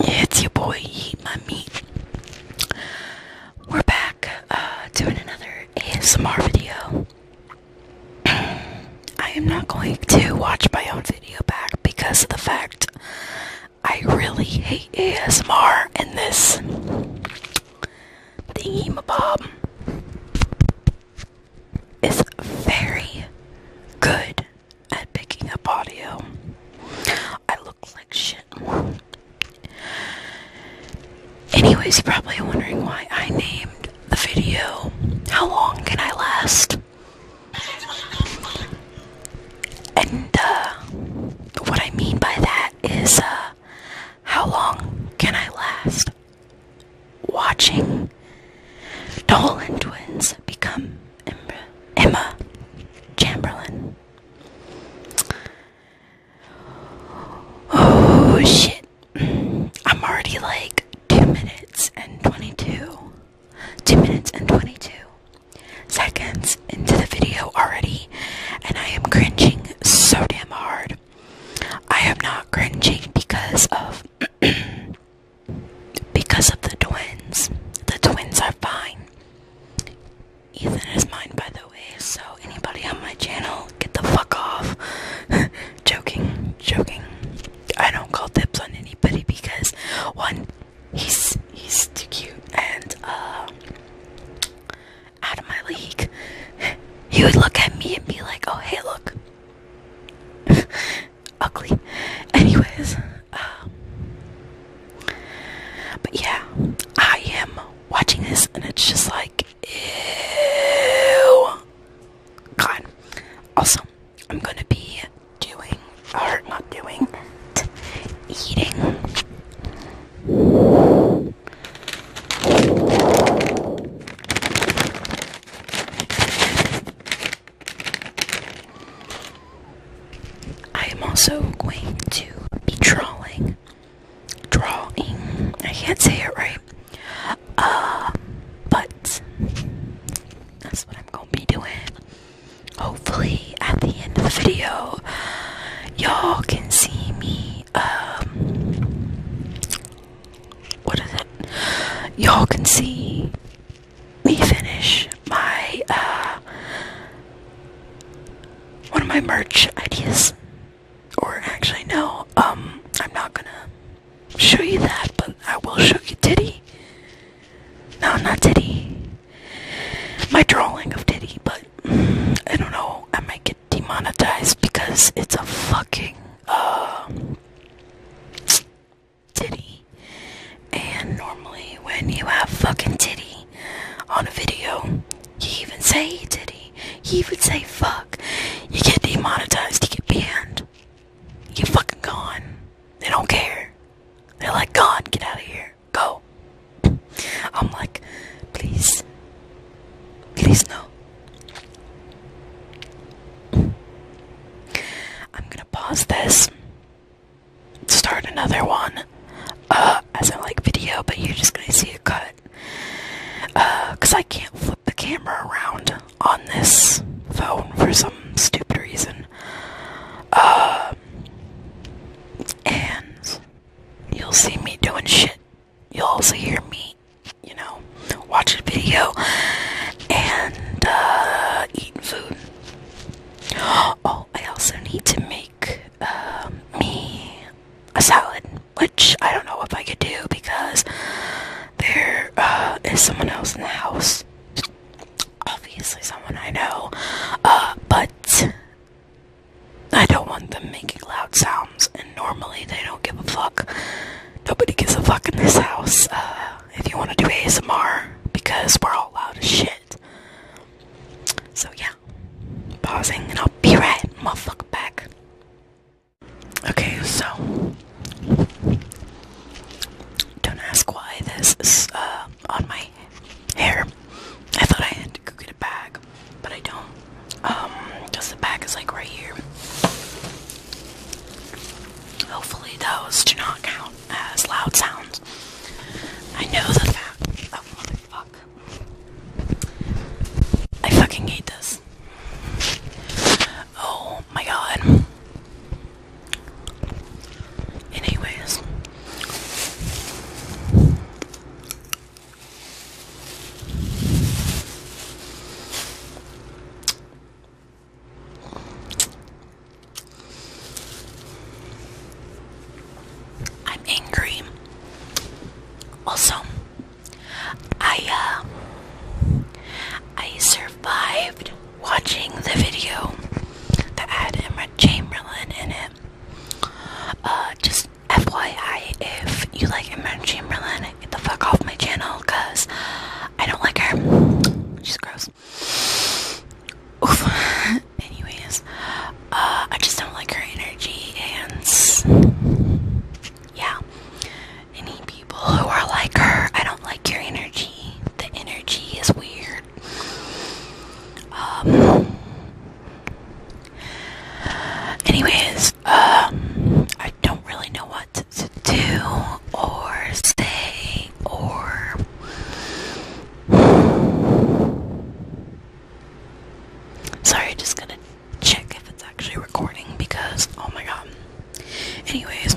it's your boy, Eat My Meat. We're back uh, doing another ASMR video. I am not going to watch my own video back because of the fact I really hate ASMR and this thingy mabob is very good at picking up audio. I look like shit. Anyways, you're probably wondering why I named the video How Long Can I Last? And uh, what I mean by that is uh, how long can I last watching Dolan twins become Emma Chamberlain. Oh shit. I'm already like 2 minutes and 22. 2 minutes and 22 seconds into the video already, and I am cringing so damn hard. I am not cringing because of. because of the twins. The twins are fine. Ethan is mine, by the way, so anybody on my channel, get the fuck off. joking, joking. I don't call dibs on anybody because, one, he's, he's too cute, and, uh, out of my league. He would look at me and be like, oh, hey, look. ugly. Anyways, um, but yeah, I am watching this and it's just like, ew. God. Also, I'm gonna be doing, or not doing, eating. I am also going to be drawing, drawing. I can't say it right, uh, but that's what I'm gonna be doing. Hopefully, at the end of the video, y'all can see me um, what is it? Y'all can see me finish my uh one of my merch ideas. Or actually no, um I'm not gonna show you that, but I will show you Titty. No, not Titty. My drawing of Titty, but I don't know, I might get demonetized because it's a fucking uh titty. And normally, when you have fucking titty on a video, you even say titty, you even say fuck, you get demonetized, you get banned, you fucking gone. They don't care. They're like, God, get out of here, go. I'm like, please, please no. I'm gonna pause this, start another one, uh, as a like video, but you're just gonna see a cut, uh, I can't flip the camera around on this phone for some stupid reason, uh, and you'll see me doing shit, you'll also hear me you know, watch a video and uh, eat food. Oh, I also need to make um, me a salad, which I don't know if I could do because there uh, is someone else in the house. Obviously, someone I know, uh, but I don't want them making loud sounds, and normally they don't give a fuck nobody gives a fuck in this house. Uh, if you want to do ASMR, because we're all loud as shit. So yeah, pausing, and I'll be right, motherfucker, back. Okay, so don't ask why this is uh, on my hair. I thought I had to go get a bag, but I don't. Um, just the bag is like right here. Hopefully, those do not count as loud sounds. I know that oh, that. I fucking hate this. Oh my god. Anyways. I'm angry. Also, I uh, I survived watching the video that had Emma Chamberlain in it. Uh, just FYI, if you like Emma Chamberlain, get the fuck off my channel because I don't like her. She's gross. Oof. Anyways, uh, I just don't like her energy and yeah. Any people who are like her, I don't like your energy. The energy is weird. Um. Anyways, um, I don't don't really know what to do or say or sorry just gonna check if it's actually recording because oh my god anyways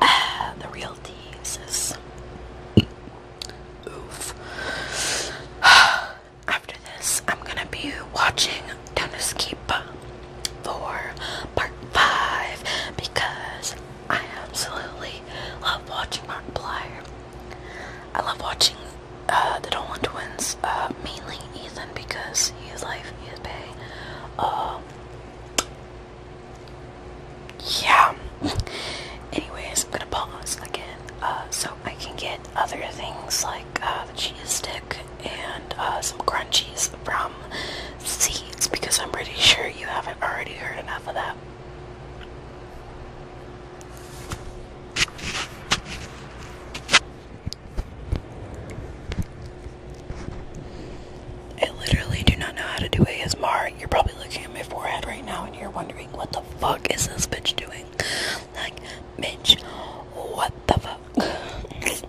Ah, the real tea says. Oof. After this, I'm gonna be watching Dennis Keep for part 5 because I absolutely love watching Markiplier. I love watching uh, the Dolan twins, uh, mainly Ethan because he is life, he is pay. Um, yeah. Anyways, I'm gonna pause again uh, so I can get other things like the cheese stick and some crunchies from seeds because I'm pretty sure you haven't already heard enough of that. I literally do not know how to do ASMR. You're probably looking at my forehead right now and you're wondering what the fuck is this bitch doing? Like, bitch, what the fuck?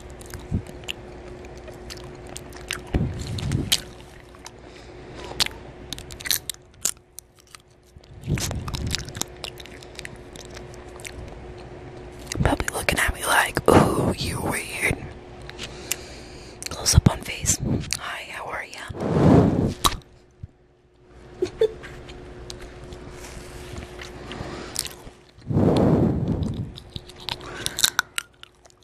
Probably looking at me like, ooh, you weird. Close up on face. Hi, how are you?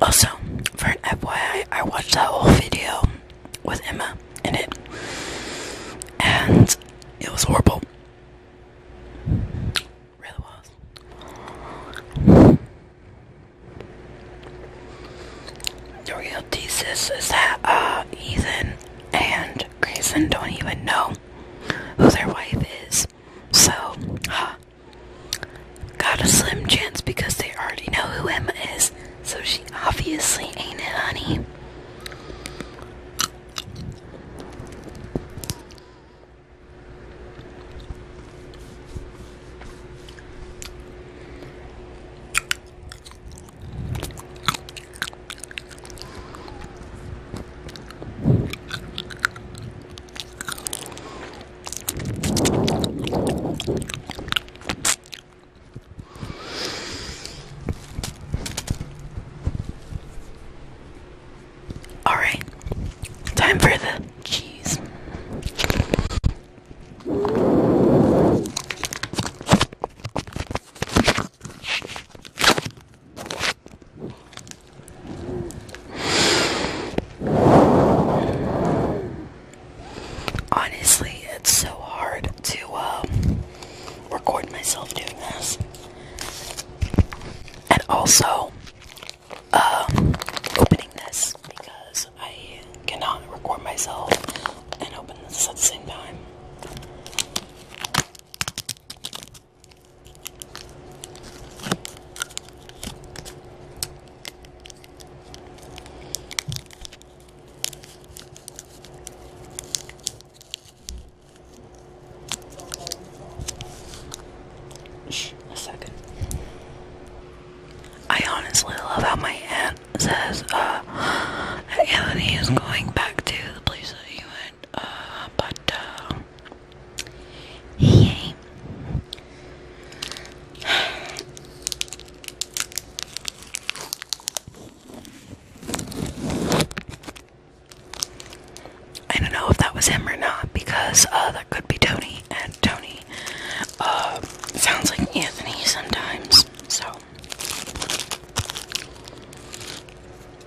Also, for an FYI, I watched that whole video with Emma in it, and it was horrible. Really was. The real thesis is that uh, Ethan and Grayson don't even know who their wife is. So, Got a slim chance because they already know who Emma is, so she obviously ain't it, honey. All right, time for the cheese. Honestly, it's so hard to um, record myself doing this. And also, um, opening this because I cannot record myself and open this at the same time. I honestly love how my aunt says, uh, Anthony is going back to the place that he went. Uh, but uh, I don't know if that was him or not because uh, that could be Tony, and Tony um, sounds like Anthony sometimes. So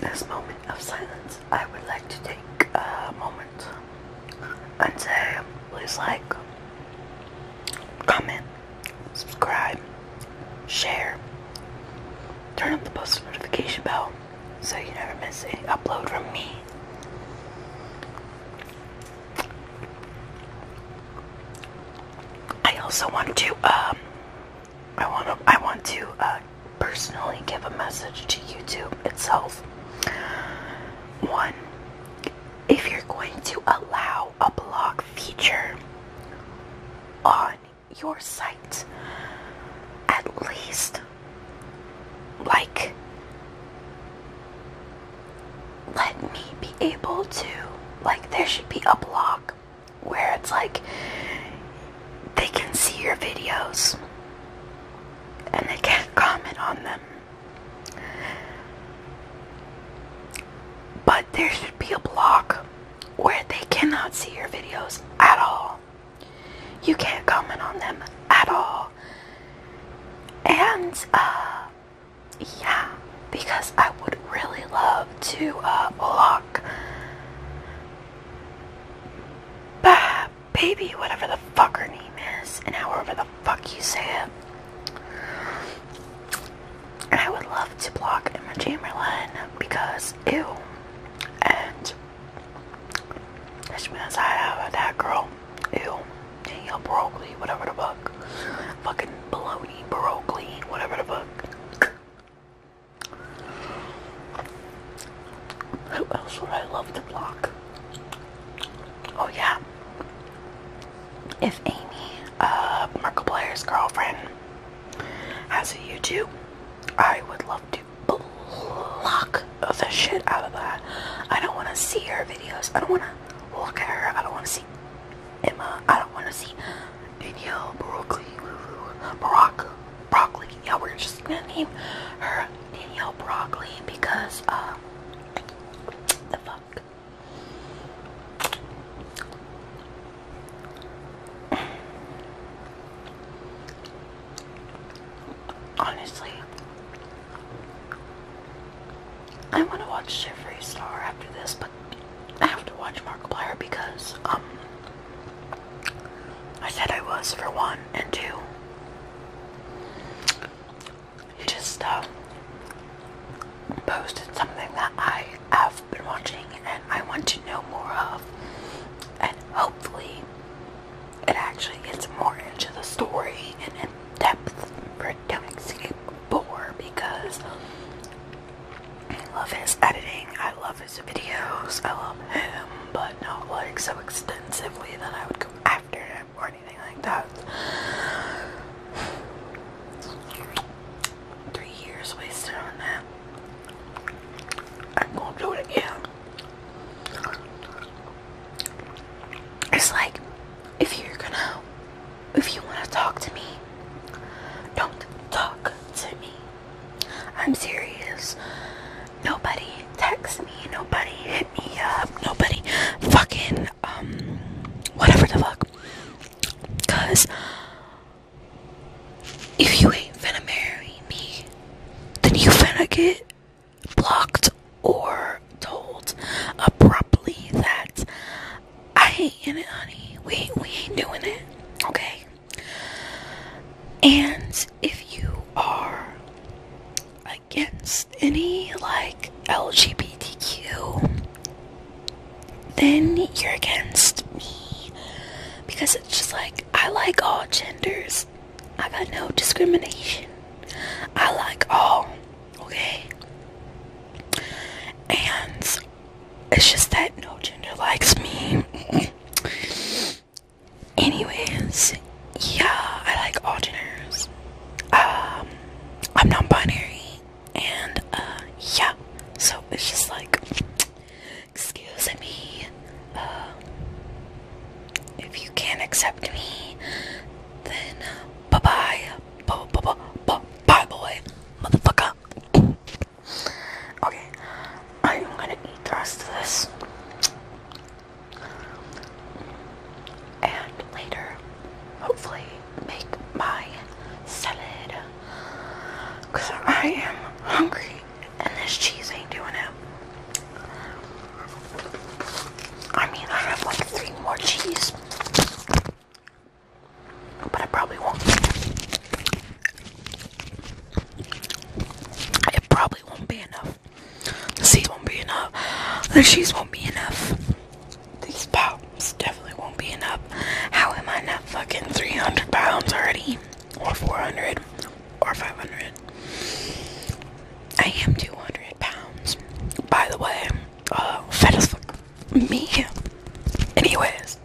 This moment of silence, I would like to take a moment and say, please like, comment, subscribe, share, turn up the post notification bell so you never miss any upload from me. I also want to um I want to I want to uh, personally give a message to YouTube itself. One, if you're going to allow a blog feature on your site at least like let me be able to like there should be a block where it's like they can see your videos and they can't comment on them but there should be a block where they cannot see your videos at all. You can't comment on them at all. And, uh, yeah, because I would really love to uh, block bah, baby, whatever the fuck her name is, and however the fuck you say it. I would love to block Emma Chamberlain because ew. And which means I have that girl. Ew. Danielle Broccoli, whatever the fuck. Fucking baloney broccoli, whatever the fuck. Who else would I love to block? Oh yeah. If Amy uh, Markiplier's girlfriend has a YouTube, I would love to block the shit out of that. I don't want to see her videos. I don't want to look at her. I don't want to see Emma. I don't want to see Danielle Broccoli. Brock, broccoli. Yeah, we're just gonna name her Danielle Broccoli because um, the fuck. Honestly, I want to watch Jeffree Star after this, but I have to watch Markiplier because, um, I said I was for one and two. Just, uh, posted something that I have been watching and I want to know more of, and hopefully, it actually gets more into the story and in depth for Don't because I love his editing, I love his videos, I love him, but not like so extensively that I would go after him or anything like that three years wasted on that. I'm gonna do it again. It's like if you're gonna if you wanna talk to me, don't talk to me. I'm serious. Nobody text me, nobody hit me up, nobody fucking um whatever the fuck. Cause if you ain't gonna marry me, then you finna get blocked or told abruptly that I ain't in it, honey. We we ain't doing it, okay? And if you are against any like LGBTQ then you're against me because it's just like I like all genders. I got no discrimination. I like all, okay? And it's just that no gender likes me. Anyways, yeah, I like all genders. Um, I'm non-binary and uh, yeah, so it's just like, excuse me, uh, if you can't accept me, then uh, bye bye, bye bye bye bye, bye boy, motherfucker. Okay, I am gonna eat the rest of this and later hopefully make my salad because I am hungry and this cheese ain't doing it. I mean I have like three more cheese but I probably won't. It probably won't be enough. The seeds won't be enough. The cheese won't be enough. These pops definitely won't be enough. How am I not fucking 300 pounds already? Or 400? Or 500? I am 200 pounds. By the way, uh, fat as fuck. Me. Anyways,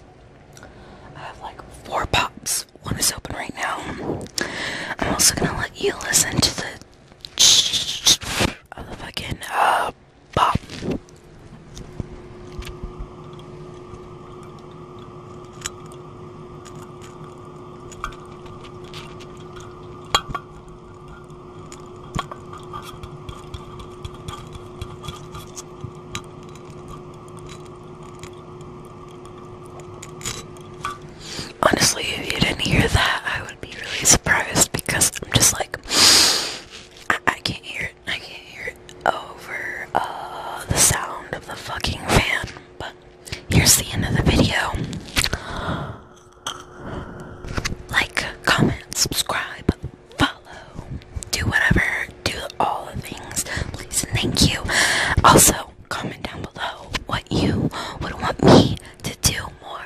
I have like four pops. One is open right now. I'm also gonna let you listen to the of the fucking uh pop. Honestly, if you didn't hear that, I would be really surprised because I'm just like I, can't hear it. I can't hear it over uh, the sound of the fucking fan. But here's the end of the video. Like, comment, subscribe, follow, do whatever, do all the things. Please thank you. Also, comment down below what you would want me to do more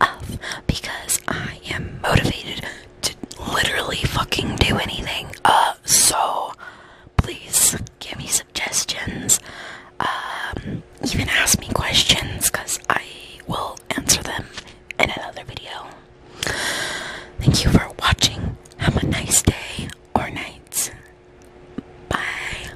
of because I am motivated to literally fucking do anything. Uh, so please give me suggestions. Um, even ask me questions because I will answer them in another video. Thank you for watching. Have a nice day or night. Bye.